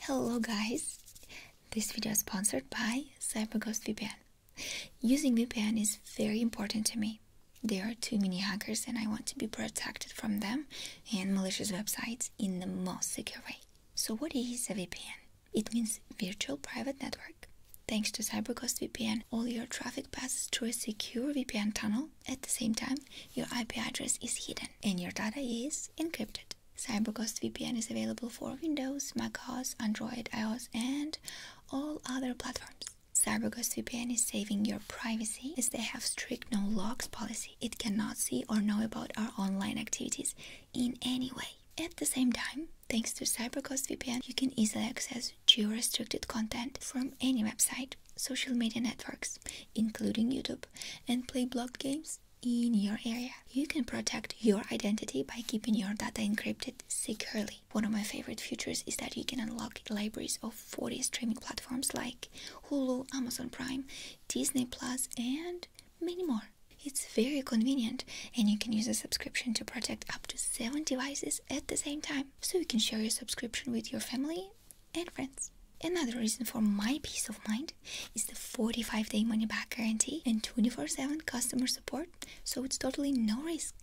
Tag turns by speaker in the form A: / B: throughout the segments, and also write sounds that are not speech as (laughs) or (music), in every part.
A: Hello guys! This video is sponsored by CyberGhost VPN. Using VPN is very important to me. There are too many hackers and I want to be protected from them and malicious websites in the most secure way. So what is a VPN? It means Virtual Private Network. Thanks to CyberGhost VPN, all your traffic passes through a secure VPN tunnel. At the same time, your IP address is hidden and your data is encrypted. Alright, Cyberghost VPN is available for Windows, macOS, Android, iOS, and all other platforms. CyberGhost VPN is saving your privacy as they have strict no logs policy. It cannot see or know about our online activities in any way. At the same time, thanks to CyberGhost VPN, you can easily access geo-restricted content from any website, social media networks, including YouTube, and play blocked games in your area. You can protect your identity by keeping your data encrypted securely. One of my favorite features is that you can unlock libraries of 40 streaming platforms like Hulu, Amazon Prime, Disney Plus, and many more. It's very convenient, and you can use a subscription to protect up to 7 devices at the same time, so you can share your subscription with your family and friends. Another reason for my peace of mind is the 45 day money back guarantee and 24 7 customer support, so it's totally no risk.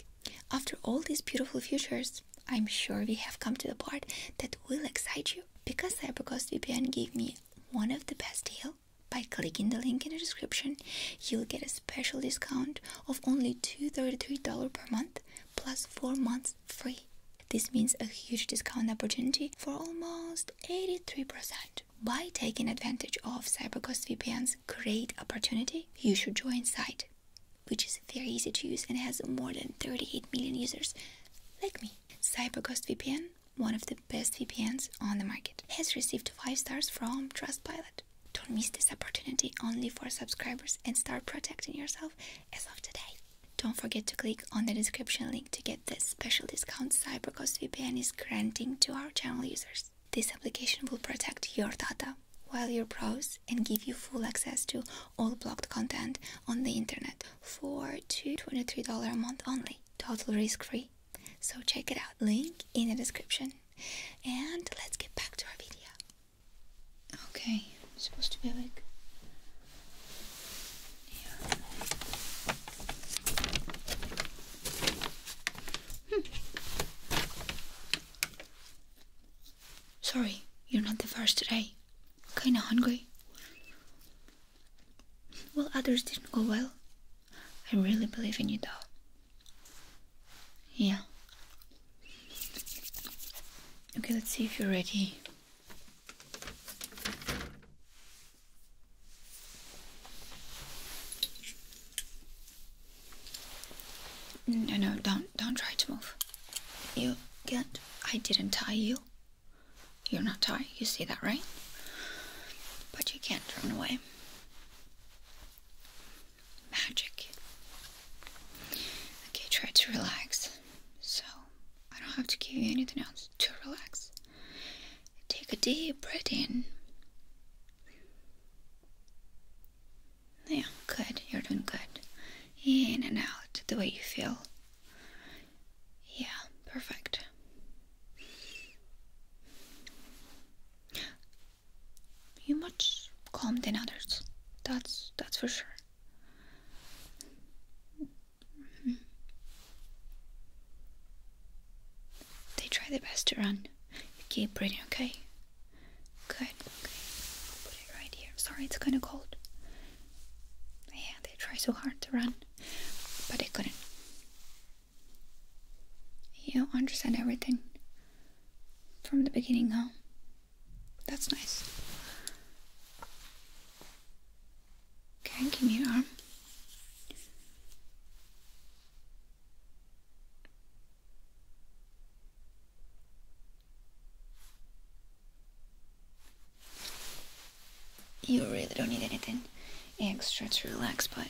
A: After all these beautiful features, I'm sure we have come to the part that will excite you. Because CyberGhost VPN gave me one of the best deal, by clicking the link in the description, you'll get a special discount of only $233 per month plus 4 months free. This means a huge discount opportunity for almost 83%. By taking advantage of CyberGhost VPN's great opportunity, you should join Site, which is very easy to use and has more than 38 million users like me. CyberGhost VPN, one of the best VPNs on the market, has received 5 stars from Trustpilot. Don't miss this opportunity only for subscribers and start protecting yourself as of today. Don't forget to click on the description link to get the special discount CyberGhost VPN is granting to our channel users. This application will protect your data while you browse and give you full access to all blocked content on the internet for $23 a month only. Total risk free. So check it out. Link in the description. And let's get back to our video. Okay, supposed to be like Hmm. Sorry, you're not the first today. Kinda hungry. Well, others didn't go well. I really believe in you though. Yeah. Okay, let's see if you're ready. No, no, don't, don't try to move. You can't. I didn't tie you. You're not tied. You see that, right? But you can't run away. Magic. Okay, try to relax. So I don't have to give you anything else to relax. Take a deep breath in. Yeah, good. You're doing good. In and out the way you feel. Yeah, perfect. You're much calmer than others. That's that's for sure. They try their best to run. keep breathing, okay? Good. Okay. I'll put it right here. Sorry, it's kind of cold. Yeah, they try so hard to run, but they couldn't. You understand everything from the beginning, huh? That's nice. Okay, give me your arm. You really don't need anything extra to relax, but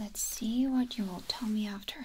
A: let's see what you will tell me after.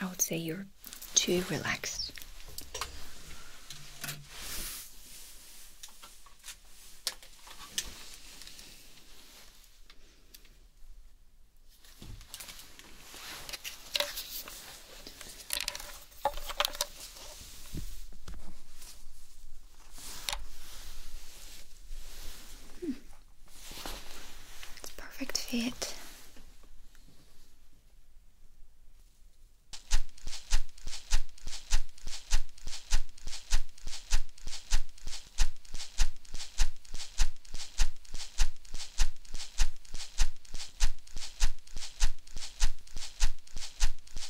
A: I would say you're too relaxed. It's perfect fit.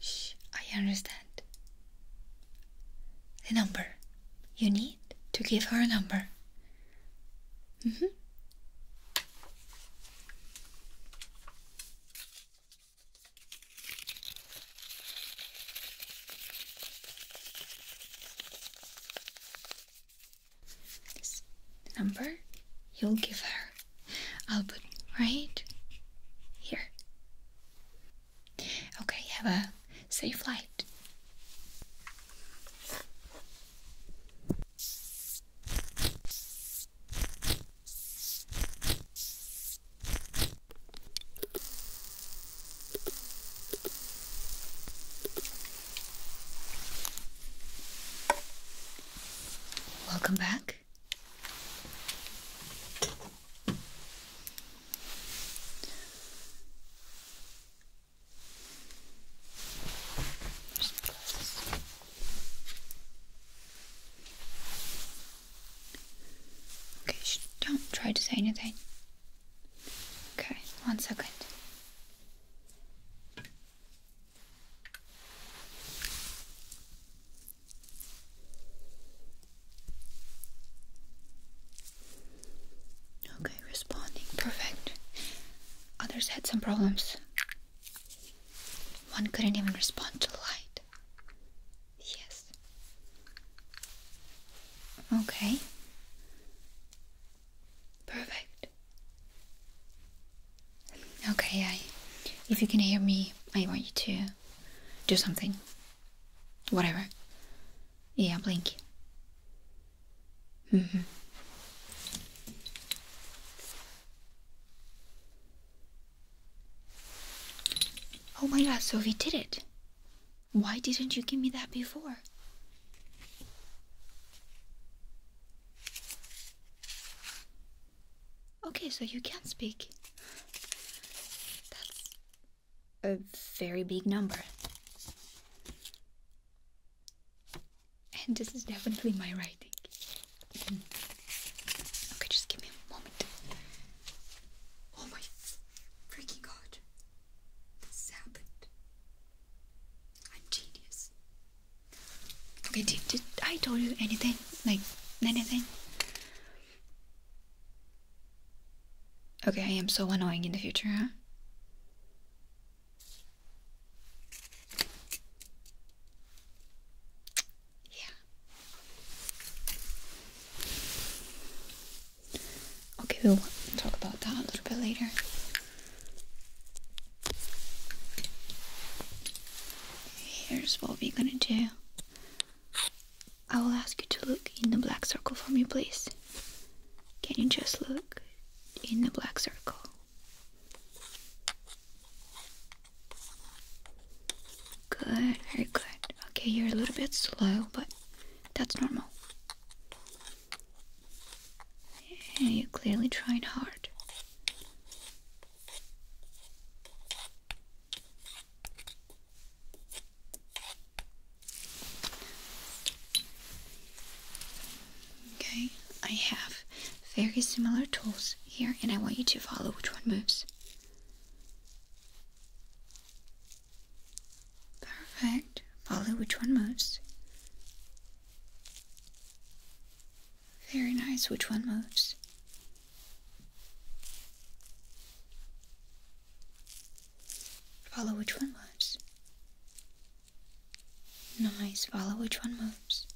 A: Shh, I understand. The number. You need to give her a number. -hmm. This number you'll give her. I'll put right here. Okay, have a safe flight. Welcome back. Okay, don't try to say anything. Okay, one second. Okay, responding. Perfect. Others had some problems. One couldn't even respond to light. Yes. Okay. Perfect. Okay, if you can hear me, I want you to do something. Whatever. Yeah, blink. Mm-hmm. Oh my god, Sophie did it. Why didn't you give me that before? Okay, so you can speak. That's a very big number. And this is definitely my writing. Okay, just give me a moment. Oh my freaking god. This happened. I'm genius. Okay, did, did I tell you anything? Like, anything? Okay, I am so annoying in the future, huh? Yeah. Okay, we'll talk about that a little bit later. Here's what we're gonna do. I will ask you to look in the black circle for me, please. Can you just look in the black circle? Good, very good. Okay, you're a little bit slow, but that's normal. You're clearly trying hard. Okay, I have very similar tools here, and I want you to follow which one moves. Perfect. Follow which one moves. Very nice. Which one moves? Follow which one moves. Nice. Follow which one moves.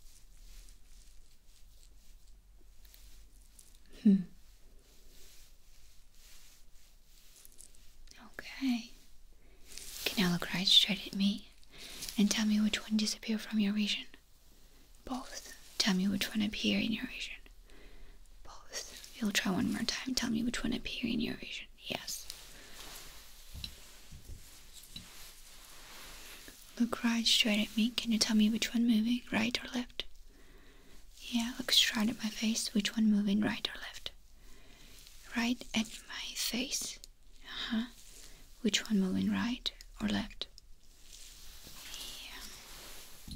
A: Hmm. Okay. Can now look right straight at me and tell me which one disappeared from your vision? Both. Tell me which one appeared in your vision. Both. You'll try one more time. Tell me which one appeared in your vision. Yes. Look right straight at me. Can you tell me which one moving, right or left? Yeah, look straight at my face. Which one moving, right or left? Right at my face. Uh-huh. Which one moving, right or left? Yeah.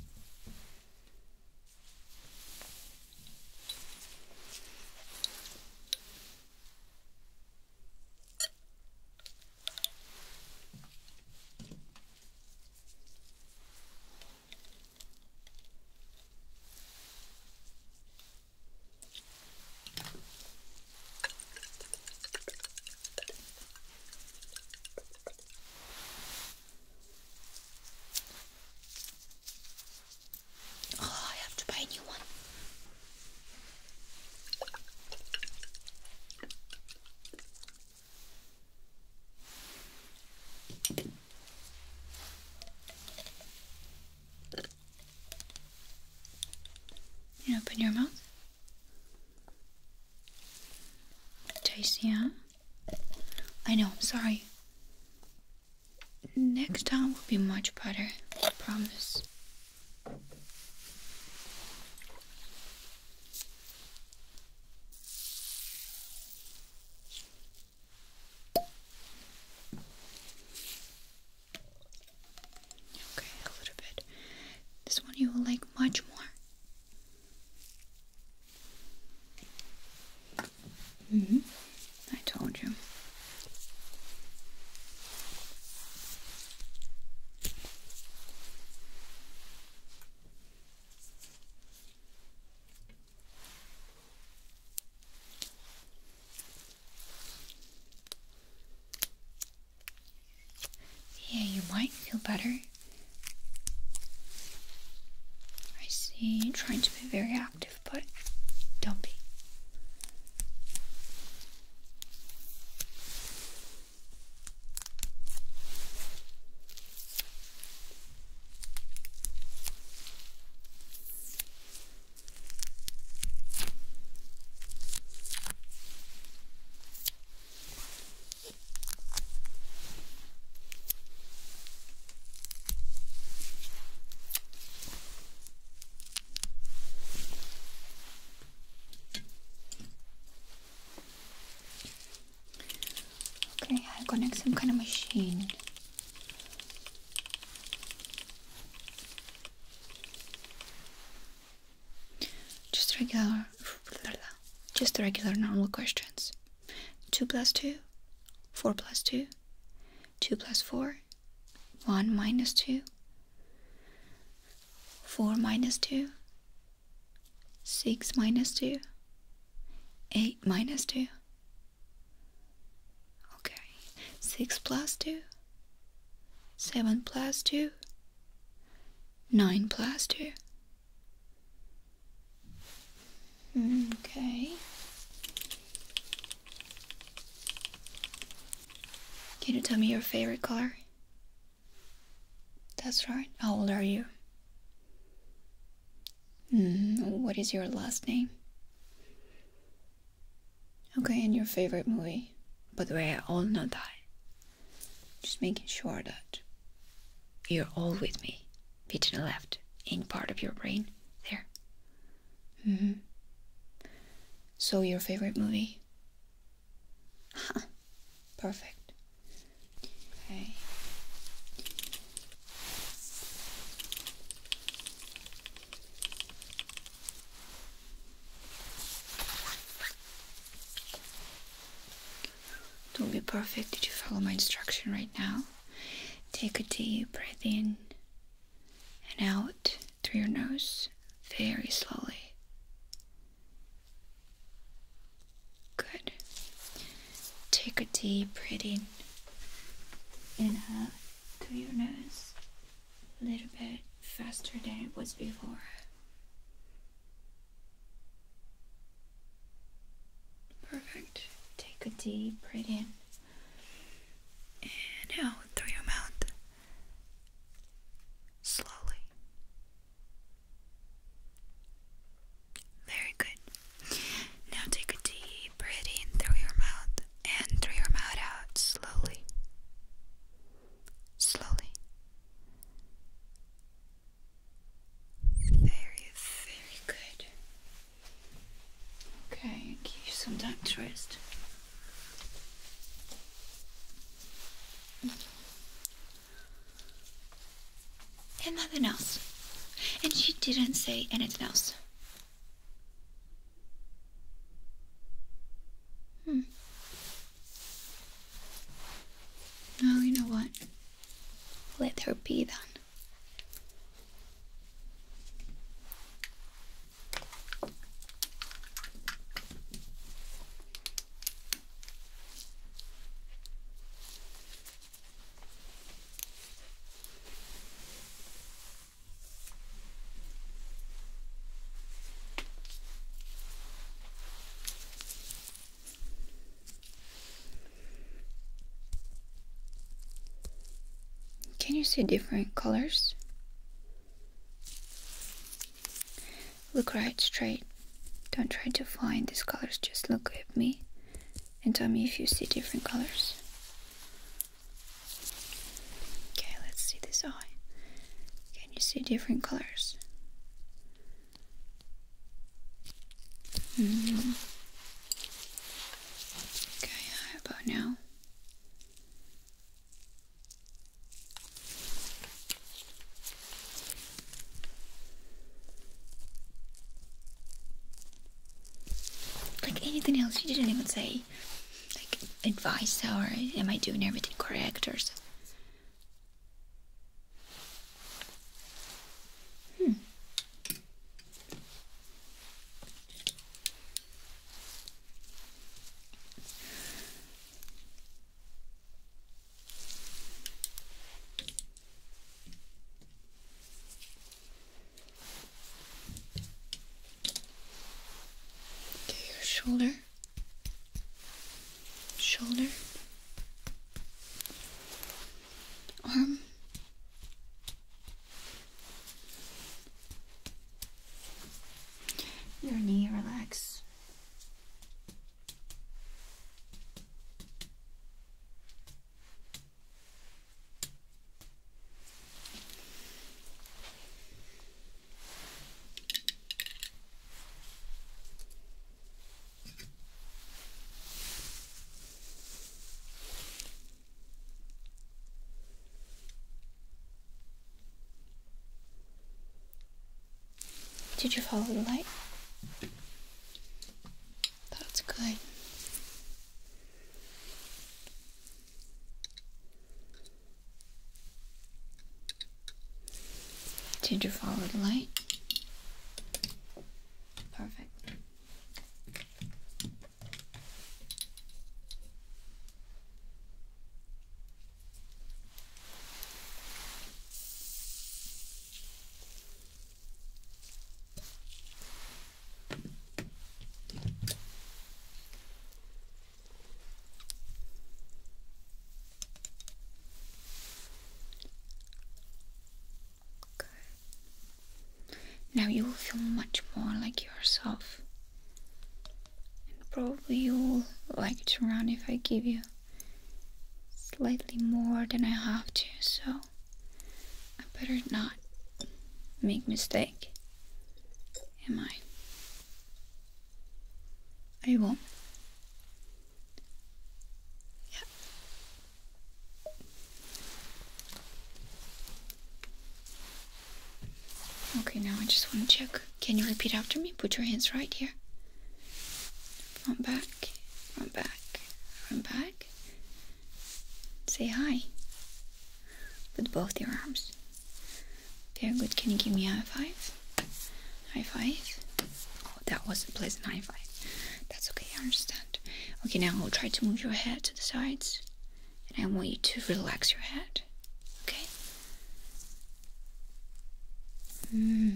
A: Oh, I have to buy a new one. You open your mouth. Tasty, huh? I know, I'm sorry. Next time will be much better, I promise. Okay, a little bit. This one you will like much more. hmm I told you. Yeah, you might feel better. I see you're trying to be very active, but don't be. Okay, I connect some kind of machine just regular, just regular normal questions. 2 plus 2, 4 plus 2, 2 plus 4, 1 minus 2, 4 minus 2, 6 minus 2, 8 minus 2, Okay, 6 plus 2, 7 plus 2, 9 plus 2. Okay. Can you tell me your favorite color? That's right. How old are you? Hmm, what is your last name? Okay, and your favorite movie. But we're all not die. Just making sure that you're all with me. the left in part of your brain. There. Mm hmm. So, your favorite movie? (laughs) Perfect. Okay. Don't be perfect Did you follow my instruction right now. Take a deep breath in and out through your nose very slowly. Good. Take a deep breath in and out through your nose a little bit faster than it was before. Perfect. Take a deep breath in and out through your mouth. Slowly. Very good. Now take a deep breath in through your mouth and through your mouth out slowly. Slowly. Very, very good. Okay, give you some time to rest. And nothing else. And she didn't say anything else. Hmm. Oh, you know what? Let her be done. Can you see different colors? Look right straight. Don't try to find these colors, just look at me and tell me if you see different colors. Okay, let's see this eye. Can you see different colors? Mm-hmm. Okay, about now? Like anything else, you didn't even say like advice or am I doing everything correct or so? Hmm to your shoulder, shoulder, arm. Your knee relax. Did you follow the light? That's good. Did you follow the light? Perfect. Okay. Now you will feel much more like yourself. And probably you will like to run if I give you slightly more than I have to, so I better not make mistake am I? Are you warm? Yeah. Okay, now I just want to check. Can you repeat after me? Put your hands right here. Run back, run back, run back. Say hi with both your arms. Very good. Can you give me a high five? High five. Oh, that was a pleasant high five. That's okay, I understand. Okay, now I'll try to move your head to the sides, and I want you to relax your head. Okay. Hmm.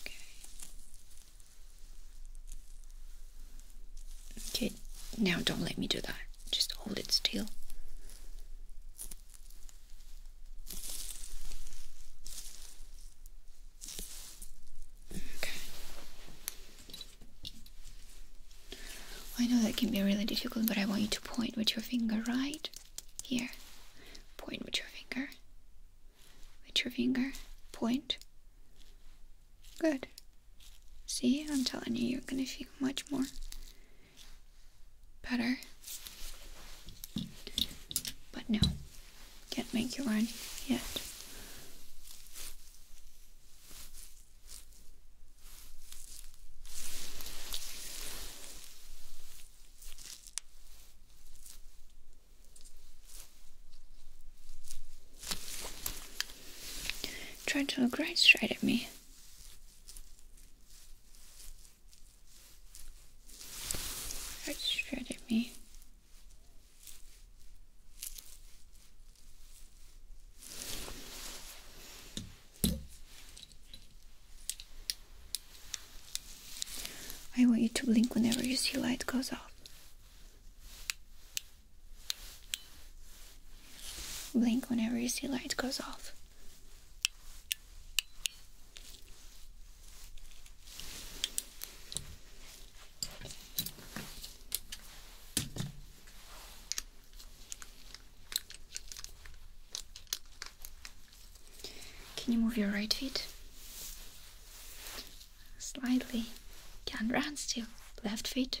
A: Okay. Okay. Now don't let me do that. Just hold it still. Okay. I know that can be really difficult, but I want you to point with your finger right here. Point with your finger. With your finger. Point. Good. See, I'm telling you, you're gonna feel much more better. But no, can't make you run yet. Trying to look right straight at me. Right straight at me. I want you to blink whenever you see light goes off. Blink whenever you see lights goes off. Can you move your right foot? Slightly. Can't run still. Left foot.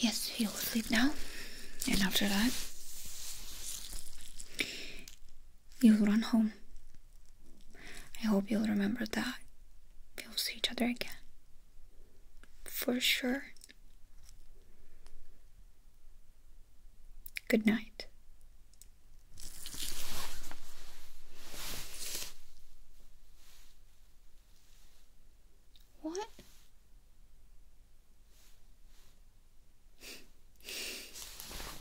A: Yes, he will sleep now, and after that, you'll run home. I hope you'll remember that. We'll see each other again. For sure. Good night. What?